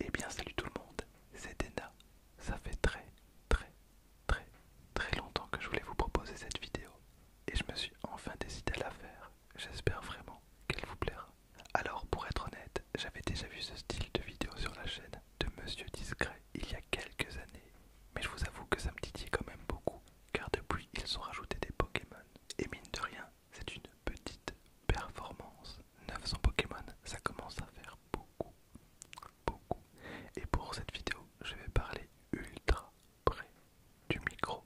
Eh bien salut tout le monde, c'est Dena. Ça fait très très très très longtemps que je voulais vous proposer cette vidéo et je me suis enfin décidé à la faire. J'espère vraiment qu'elle vous plaira. Alors pour être honnête, j'avais déjà vu ce style de vidéo sur la chaîne de Monsieur Discret il y a quelques années, mais je vous avoue que ça me titillait quand même beaucoup car depuis ils ont rajouté des Pokémon et mine de rien c'est une petite performance. 900 Pokémon, ça commence à faire beaucoup. Beaucoup. Et pour cette vidéo, je vais parler ultra près du micro.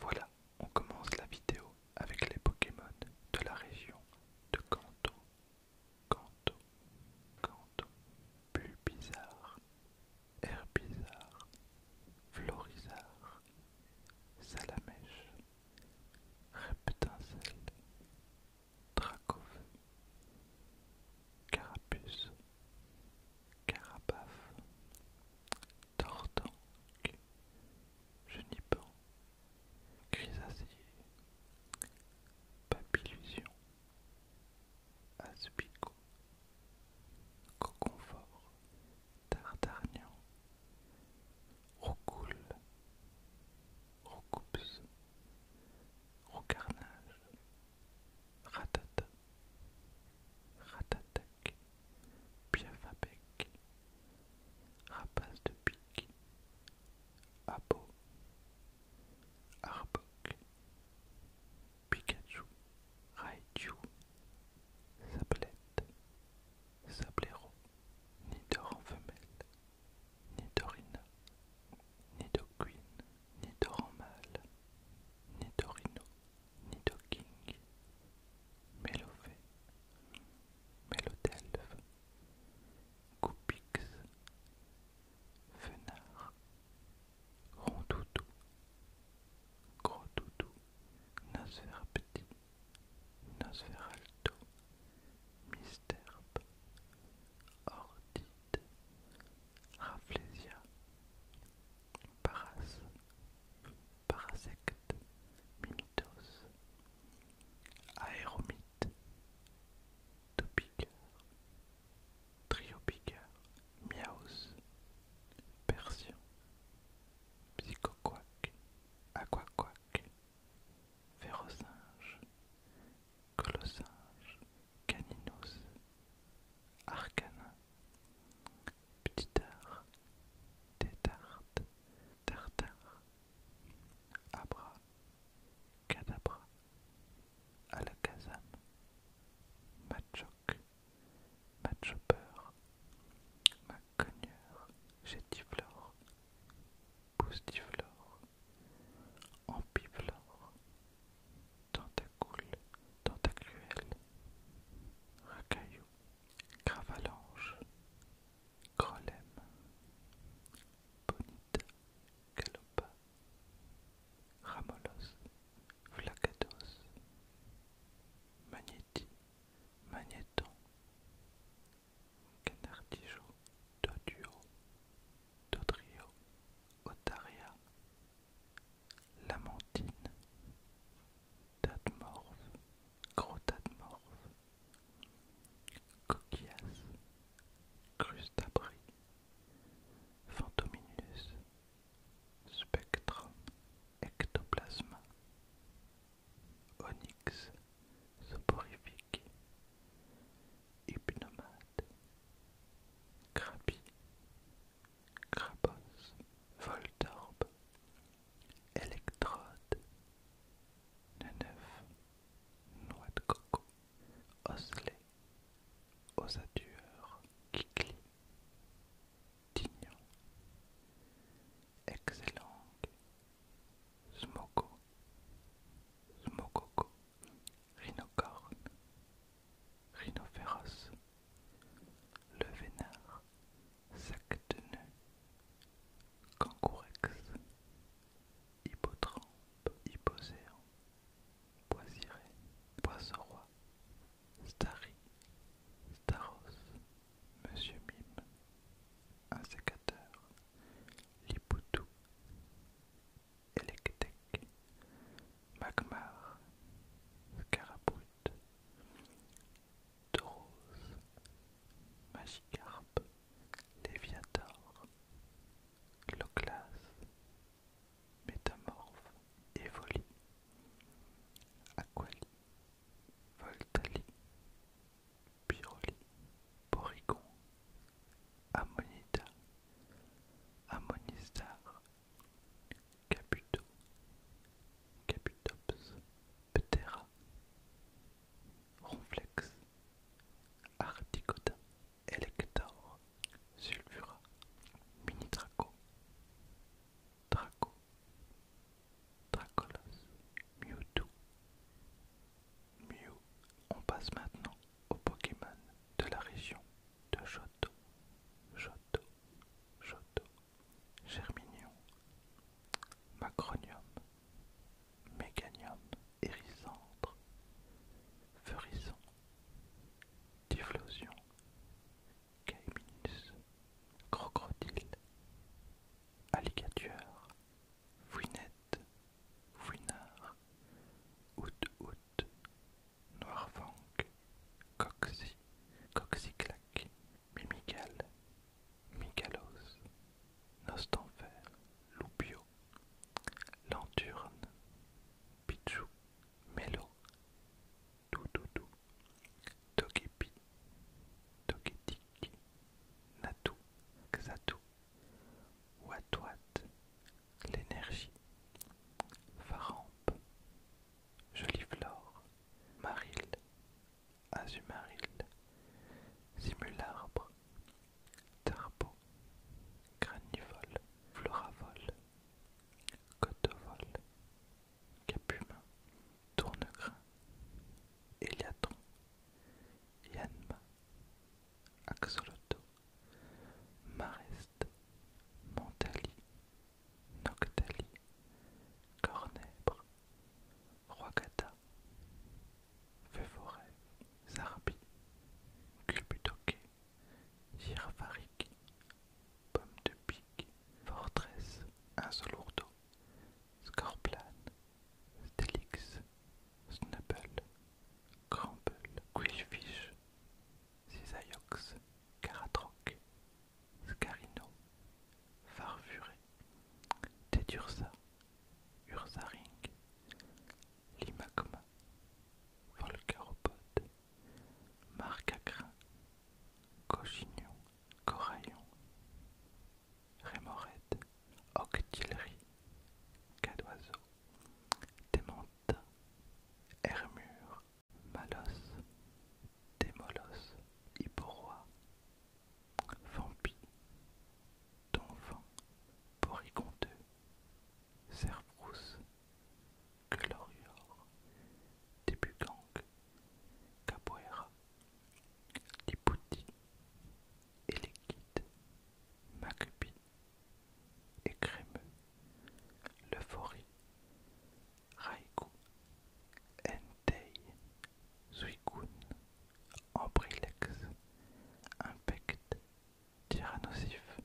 Voilà, on commence la vidéo avec les Pokémon de la région de Kanto. Kanto, Kanto, Bulbizarre, Herbizarre, Florizarre, Salamèche, Reptincelle, Dracov, Carapuce, Carapaf Tortanque, Genipan, Chrysacier, Papillusion, Aspico, Coconfort, Tartarnian, Roucoule, Roucoups, Roucarnage, Ratata, Ratatac, Piafapek Rapace de pique, Abo, Arbok, Pikachu, Raichu, Sablette, Sabléro, ni femelle, ni Dorina, ni ni mâle, ni Dorino, ni Docking, Mélové, Mélodelve, Goupix, Fenard, Rondoudou, Gros Nosferapti, Nosferalto, Misterbe, Ordite Rafflesia, Paras, Parasecte, Mimitos Aéromite, Topica triopique, Miaos, Persion Psychoquac, Aquaquac, Verosinge, Colossinge, Caninos Arcanin, Petitard, Tétard, Tartare, Abra, Cadabra, Alakazam, Machoc, Matchopper cogneur, gétiflore, boustiflore, ampiflore, tentacoule, tentacuelle, racaillou, cravalange, grolem, bonita, galopa, ramolos, flacados, magnétite, Magneton Magnéton, Canardijo, Doduo, Dodrio, Otaria, Lamantine, Tadmorve, Gros Coquias, Crustabri, Fantominus, Spectre, Ectoplasma, Onyx soporifique, hypnomate, crapi, crapos, voltorbe, électrode, neuf, noix de coco, osselet, ossature, kikli, Tignon, Excellang, Smoko, Smokoko, Rhinocorne, Rhinophéros, Le Vénard, Sac de nœud, Cangourex, Hippotrampe, Hippocéan, Poisiré, Poisson Roi, Starry, Staros, Monsieur Mime, un sécateur, Lipoutou, Magmar, Scarabout, Drose, Magicarpe, Léviator, cloclas, Métamorphe, Evoli Aquali, Voltali, Piroli, Borigon, Ammonita, Ammonistar, Caputo, Caputops, Ptera, Ronflex, Articoda, Elector, Sulfura, Minitraco, Draco, Dracolos, Mewtwo, Mew. On passe maintenant aux Pokémon de la région de Johto, Johto, Johto, Germinion, Macronium, Méganium, Hérissandre, Ferison, Difflosion, Caeminus, crocodile, alligator, fouinette, fouinard, out, hout Noirfang coxy, coxyclaque, mimical, micalos, nostanfer loupio, lenturne, pichou, mélo, doudou, Togépi, natou Natu, Xatu, Watwat, l'énergie, jolie flore, Maril, Azumaril, Simularbre, Tarbo, Granivol, Floravol, Cotovol, Capumin, Tournegrin Eliatron, Yanma, Axoloto, Marest, Montali Noctali, Cornèbre, Roagata, Fevoré, Zarbi, Culbutoke, Girvariki. Pomme de pique, Fortress, Insolurdo, Scorplane, Stelix, Snubble, Crumble, Quillfish, cisayox, Caratroc, Scarino, Farfuré, Tédursa, Ursaring, limagma, Volcaropode, Marcacrin, Cochignon, coraillon, rémorette, octillerie, d'oiseau, Démantin, hermure, malos, démolos, hyporoi, vampi, donfant, poriconteux, Serbrousse, glorior, Débugang, capoeira, diputi, bouddhis et écrimeux l'euphorie Lefori, Raikou, Entei, Ambrilex, Impect, Tyrannosif,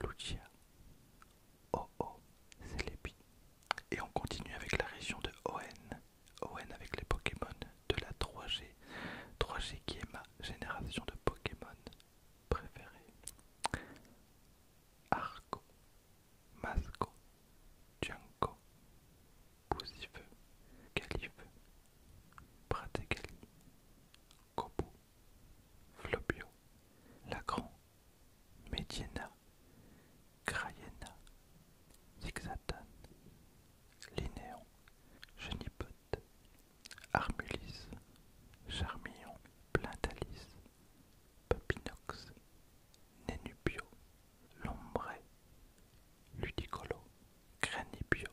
Lucia, Oh oh, c'est l'épi. Et on continue avec la région de Oen. Oen avec les Pokémon de la 3G. 3G qui est ma génération de Pokémon préférée. Arco, Masco, Junko, Poussifeu, Calife, Prategali, Kobu, Flopio, Lacran, Mediena, Graiena, Zixatan, Linéon, Genipote, Armulis, Charmillon, Plantalis, Papinox, Nénubio Lombray, Ludicolo, Granibio,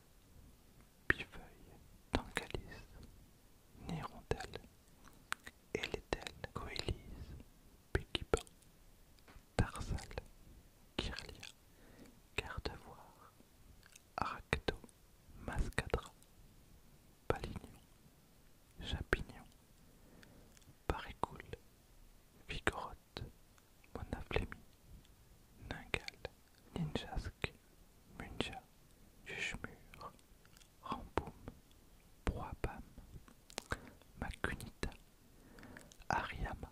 Bifeuille, Tancalis, Nirondelle, Eletel, Coelise, Pekiba, Tarsal, Kirlia, Gardevoir, Aracto, Mascadra, Palignon, Chapignon, parécoul, Vigorotte, Monaflémie, Ningal, Ninjasque, Munja, Juchemur, Ramboum, Proabam, Macunita, Ariama,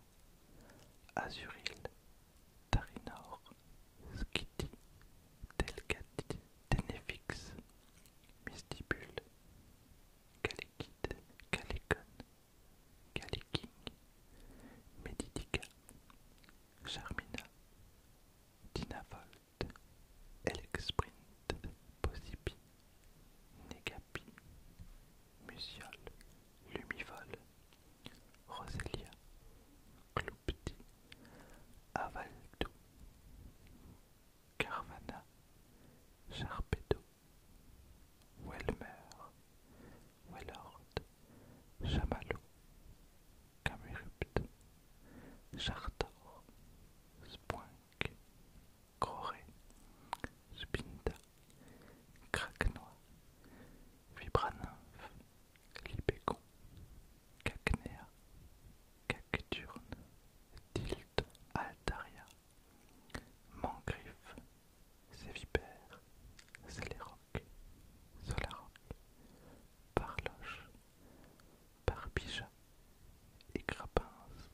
Azuril, Tarinor, Skitty, Delcat, Tenefix, Mistibule, Calékid, calicon Galiking, Medidica, Charmina, Dinavol, Alexprint, Possipi, Negapi, Musiol, Lumivol, Roselia, Cloupti, Avaldo, Carvana, Charpedo, Welmer, Wellord, Chamallow, Camerupt, Chartor, Spoing Croré, Spinta, Craquenois, Vibraninf, Libécon, Cacnea, Cacturne, Tilt, Altaria, Mangriffe, Sévipère, Sléroc, Solaroc, Parloche, Barbija, Écrabins,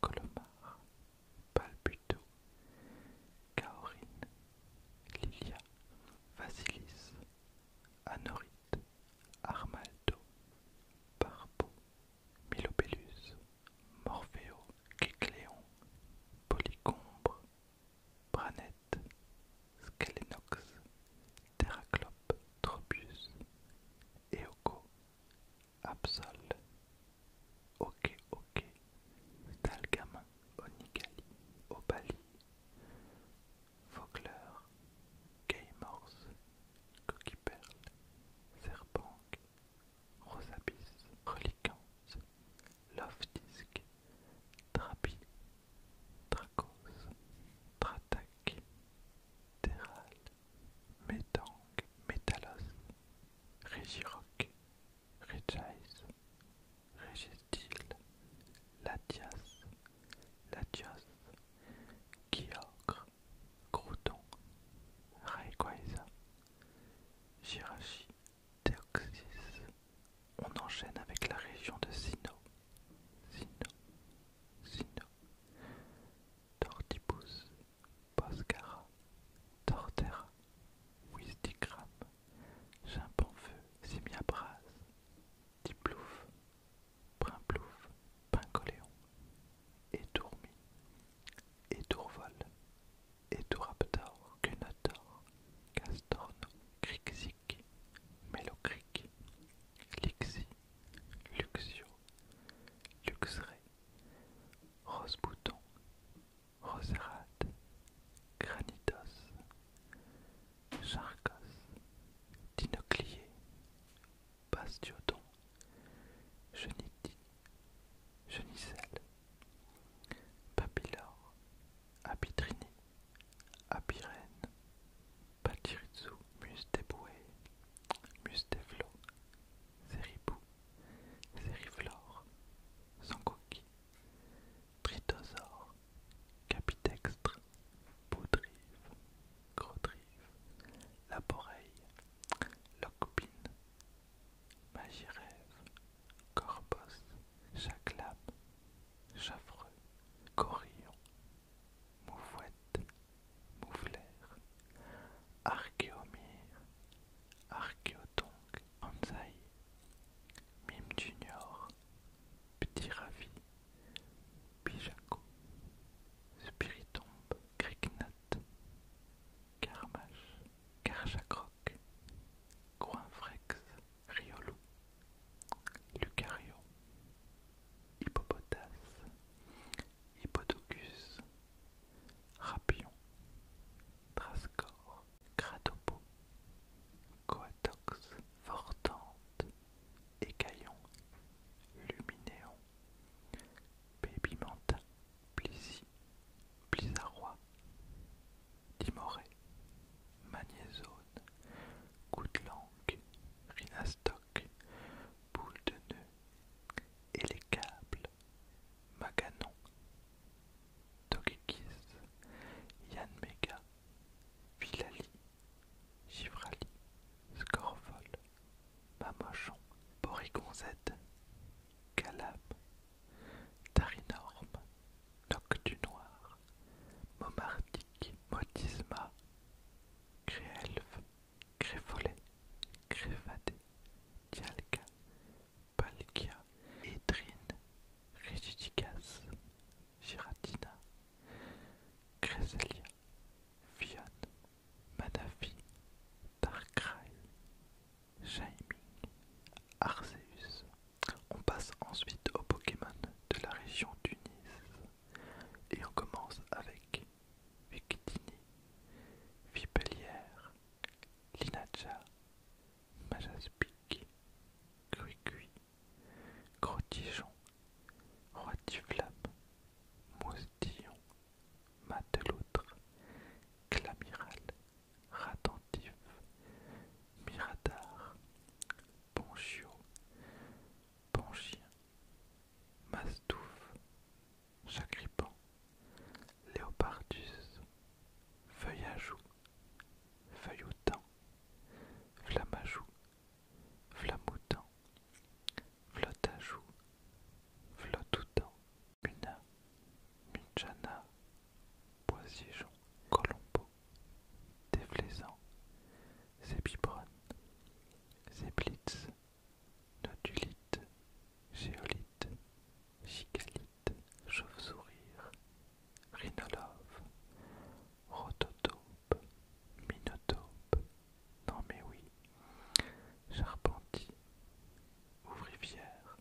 Colomar, Palbuto, Kaorine, Lilia, Vasilis, Anorite, Armaldo, Barbeau, Milobellus, Morpheo, Kécléon, Polycombre, Branette, Skelenox, Terraclope, Tropius, Eoko, Absol, Ok Ok, Stalgamin, Onigali, Obali, Vogler, Gaymors, Coquiperle, Serpent, Rosabis, Reliquance, Love Disc, Trapi, Dracos, Trataki, Terral, Metang, Metalos, Régiroc, Régis, Régistil, Latias, Latios, Guiocre, Crouton, Raequaisa, Girachi, Deoxys. On enchaîne avec la région de Sino, Sino, Sino, Tortipus, Boscara, Tortera, Wisticram, Chimpanfeu, Simiabras, Diplouf, Primplouf, Pincoléon, Etourmi, Etourvol, Etouraptor, Cunator, Castorno, Crixi Cric, Lixi, Luxio, Luxray, Rosebouton, Roserade, Granitos, Charcos, Dinoclier, Bastiodon, Geniti, Genicelle, Papillore, Abitrini, Apirène, Patiritsu, Musteboué, Musteflo, Zeribou, Zeriflore, Sankoki, Tritosaure, Capitextre, Poudrive, la poreille, Locpine, Magirève, Corbos, Chaclame, Chaffreux, Corillon, Moufouette, moufler, Archéomir, Archéotonk, Anzaï, Mime Junior, Petit Ravi, Pijaco, Spiritombe, Kriknat, Carmache, Karchakroc, Coinfrex, Riolou, Lucario, hippopotas, hippodocus, rapion, trascor, cratopo, coatox, fortante, écaillon, Lumineon, pébimenta, Plissy, blizzarrois, timoré, magnézone, langue, Rhinastok, Boule de Nœud, et les câbles, Maganon, Togekiss, Yanmega, Villali, Givrali, Scorfol, Mamochon, Borigon Z, Calab, Tarinorme, Noc du Noir, Momardic, Motisma, Créelve, Crefolet, Crévadé, Dialga, Palkia, Edrine, Rigidicas, Giratina, Créselia, Fionne, Madafi, Darkrai, Jaiming, Arceus. On passe ensuite aux Pokémon de la région Tunis. Et on commence avec Victini, Vipellière, Linacha, Majaspic, Grotijon, Grotijon, Roitiflamme, Moustillon, Mateloutre, Clamiral, Ratentif, Miradar, Ponchio, Panchien, Mastouf, Chacripan, Léopardus, Feuille à Flamajou, Feuilloutin, Flotajou, flotoutant, flotte Flottoutin, Muna, Munchana, Colombo, des flaisans, Zéblitz biberones, Géolite blitz, géolites, chauve-sourire, rhinolove, rototope, minotope, non mais oui, charpentier, ouvrivière,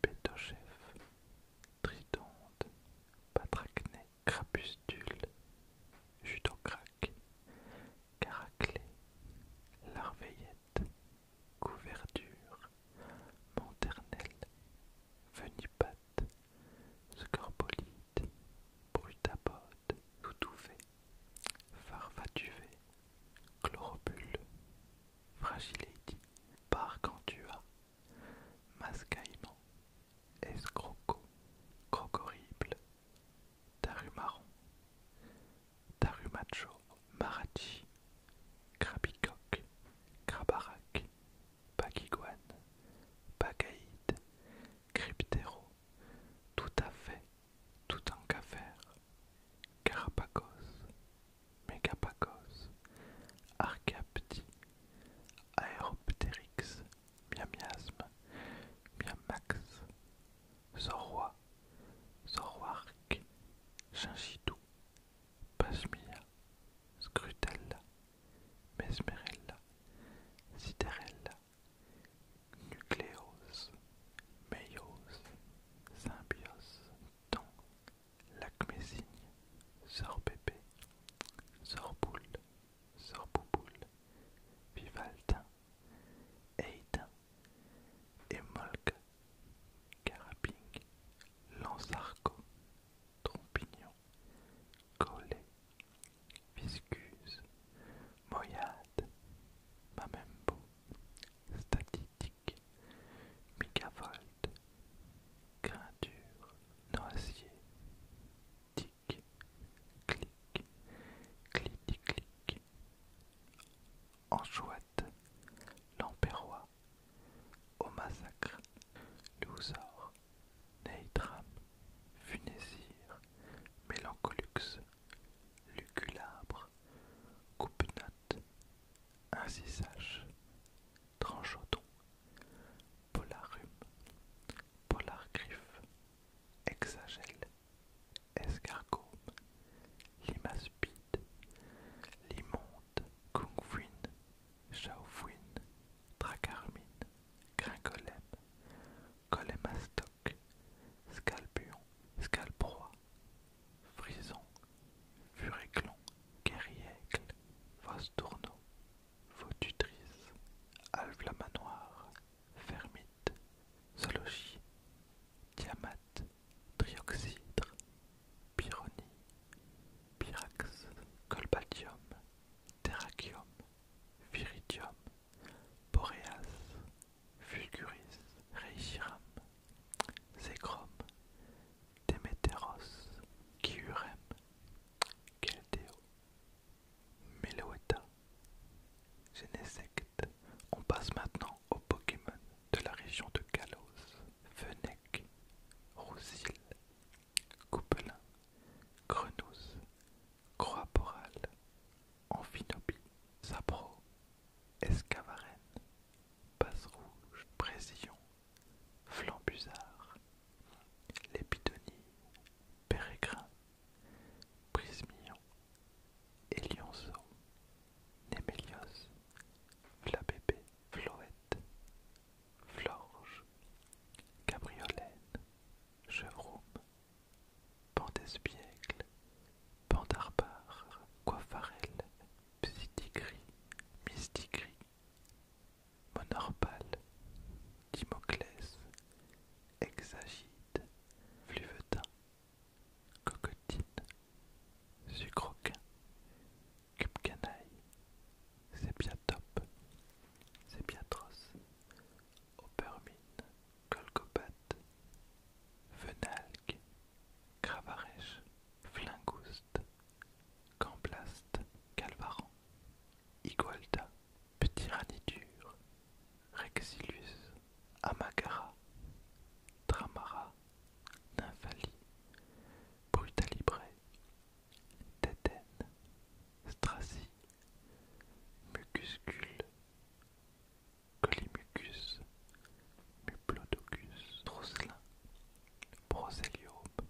pétochef, Tritonde, patracnée, crapustule, jutocraque, caraclée, larveillette, couverture, manternelle, venipate, scorpolite, brutapode, toutouvée, farfatuvée, chlorobule, fragility, parcantua, mascaillement escroco, taru horrible, taru macho, marachi, crabicoque, crabarac, bagiguane, bagaïde, cryptero, tout à fait, tout en cafère, carapacos, Megapagos, arcapti, Aéroptérix, Miamiasme, Miamax, Zorroa, Zorroark, Gingidou, Pasmia, Scrutella, Mesmerella, Siderella, Nucléose, Meios, Symbiose, Ton, Lacmésigne, Sœur Sorboule Sorbouboule, Boule, Caraping, Lansarco, Trompignon, Collet, Viscuse, Moyade, Mamembo, Statistique, mikavol Grinture noisier, tic, clic, clic-clic, anchouette, lampérois, au massacre, lousor, neitram, funésir, mélancolux, luculabre, coupe-note, incisage, tranchoton, Polarum, Polargriffe, Exagel, Escargum, Limaspide, Limonde, Kungwin, Shaofuin, Dracarmine, Gringolem, Colémastoc, Scalpion, Scalproie, Frison, Furéclon, Guerriècle, Vostourneau la Alvlamanoir, Fermite, Zoologie, Diamate, Trioxydre, Pyronie, Pyrax, Colbatium, Terracium, Viridium, Boreas, Fulguris, Reichiram, Zécrom, Demeteros, Kiurem, Keldeo, Meloetta Genesect. On passe maintenant aux Pokémon de la région de Kalos. Venek, Roussil, Coupelin, Grenousse, Croaporal, Amphinobie, Sapro, Escavarenne, Basse Rouge, Précision, flambusard, lépidonie, pérégrin, prismillon, élionceau, némélios, flabébé, floette, florge, cabriolène, chevroum, Pandesbiègle pandarbare, coiffarelle, psitigris, mystigris, Monorpale, Timoclès, exagite, Fluvetin, Cocotine, Sucroquin, Cubcanaille, bien Sépiatros, Opermine, Colcopate, Fenalque, Cravarèche, Flingouste, Gamblaste Calvaran, Igualda, Petit Ranidur, Rexilus, Amagara, Tramara, Nymphalie, Brutalibre, Tétène, Stracie, Mucuscule, Colimucus, Muplodocus, Trousselin, Broséliope,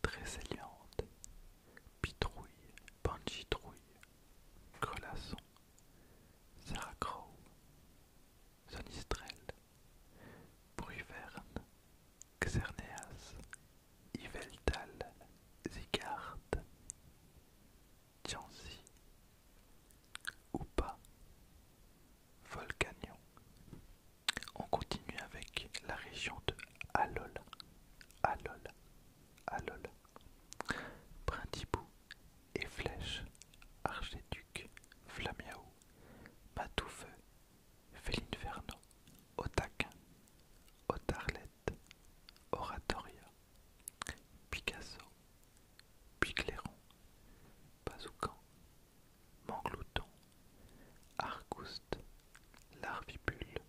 Tressaillante, Pitrouille, Panchitrouille, Grelasson, Sarah Crowe, Bruverne, Xerneas, Yveltal, Zigarde, Tiansi Oupa, Volcanion, on continue avec la région de Alol. Alol, Alol, Brindibou et Flèche, Archéduc, Flamiaou, Matoufeu, Féline Vernon, Otaquin, Otarlette, Oratoria, Picasso, Picleron, Bazoucan, Manglouton, Argouste, Larvibule,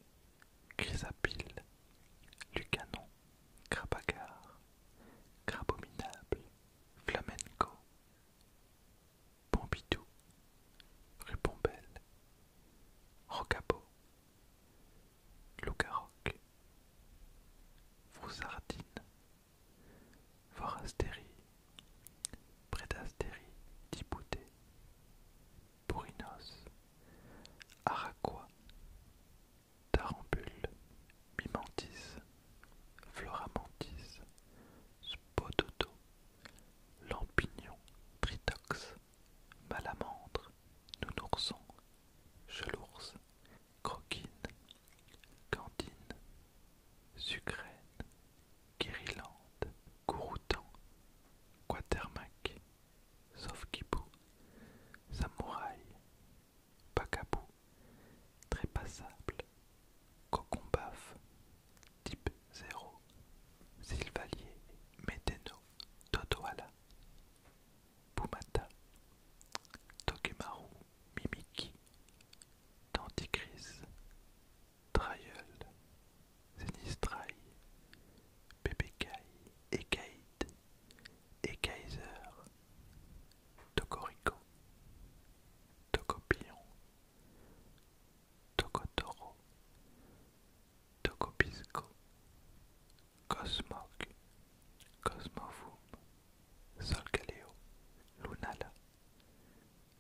Chrysapile, Lucanon, Crabagard, Crabominable, Flamenco, Pompidou, Rupombelle, Rocabo, Loucaroc, Froussardine, Forastérie, Prédastérie, Dibouté, Bourinos, Araquois, Tarambule, Mimantis, Floramantis, Spodoto, Lampignon, Tritox, Malamandre, Nounourson, Chelours, Croquine, Cantine, Sucrène, Kiriland, Gouroutan, Quatermac, Sofkipou, Samouraï, Pacabou, Trépassable, Passable, Cocombaf, Type 0, Sylvalier, Meteno, Totoala, Pumata, Tokemaru, Mimiki, Danticris, Trial, Sinistrai, Kai Ekaïd, Ekaiser, Tokoriko, Tokopion, Tokotoro, Tokopisco, Cosmog, Cosmovoom, Solgaleo, Lunala,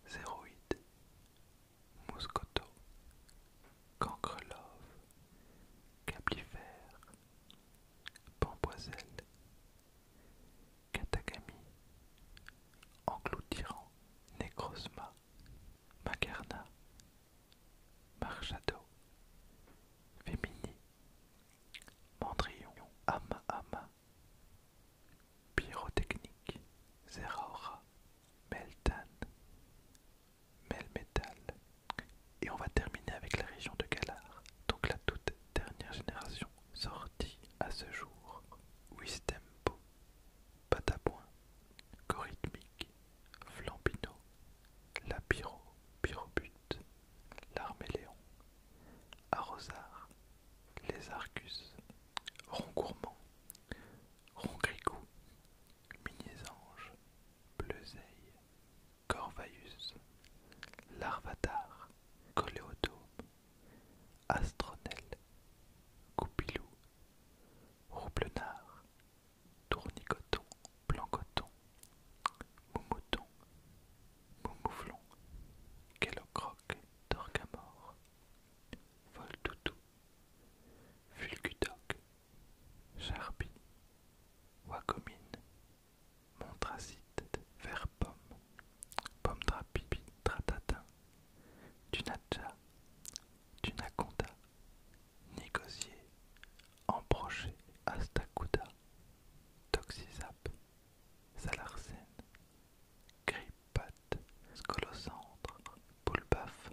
Zéroïde, Moscoto Cancrelove, Caplifère, Pamboiselle Katagami, Engloutirant, Necrosma, Macarna, Marchado, Fémini, Mandrillon, Ama Ama, Pyrotechnique, Zeraora, Meltan, Melmetal. Et on va terminer avec la région de Galar, donc la toute dernière génération sortie à ce jour. Wistempo, Patapoint, Corythmique, Flambino, Lapiro, Pyrobut, L'Arméléon, Arrozar les Arcus, arcus, Rongourmand, Rongricou, Minisange, Bleuzeille, corvaïus, Larvatar, Coléodome, Astronel, Goupilou, Roublenard, Tournicoton, Blancoton, Moumouton, Bongouflon, Kellocroc, Torgamore, Voltoutou, Fulgudoc, Charpie, Wacomine, Montracite, Verpomme, Pomme Tratata Tratatin, Tunatcha, Tunaconda, Nicosier Embroché, Astacuda, Toxizap, salarsène, Grippat, scolocentre, poulbaf,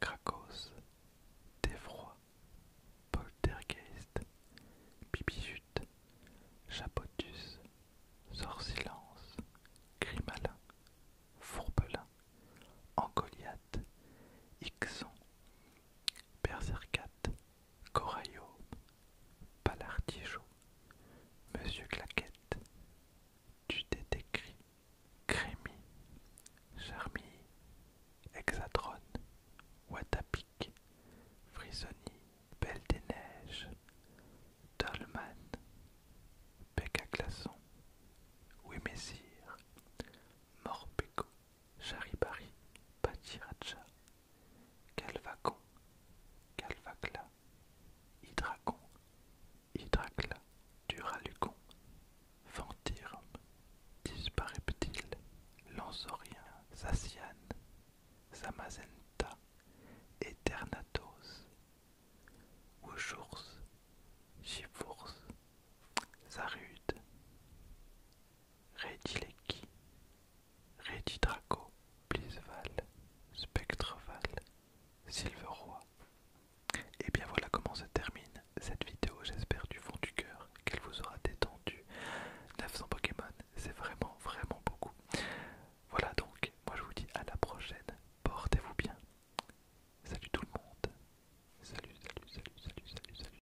Krakos, froid, poltergeist, bibijute, chapotus, sorcilance, grimalin, fourbelin, angoliath, ixon, berserkate, Corayo, Palardijou, Monsieur Claquette, Tutétécri, Crémie, Charmille, Hexatron, Watapic, Frisoni, Belle des Neiges, Dolman, glaçon, Wimessir, Morpeko, Charibari, Pachiracha, Calvacon, Calvacla, Hydracon, Hydracla, Duralucon, fantirme, Dispareptile, Lansorien, Sassiane, Samazenta, Eternatos, ojours, Chifours, Zarude, Redileki, Draco, Blisval, Spectreval, Et eh bien voilà comment se termine cette vidéo, j'espère du fond du cœur qu'elle vous aura détendu. 900 Pokémon, c'est vraiment vraiment beaucoup. Voilà donc, moi je vous dis à la prochaine, portez-vous bien. Salut tout le monde. Salut, salut, salut, salut, salut, salut.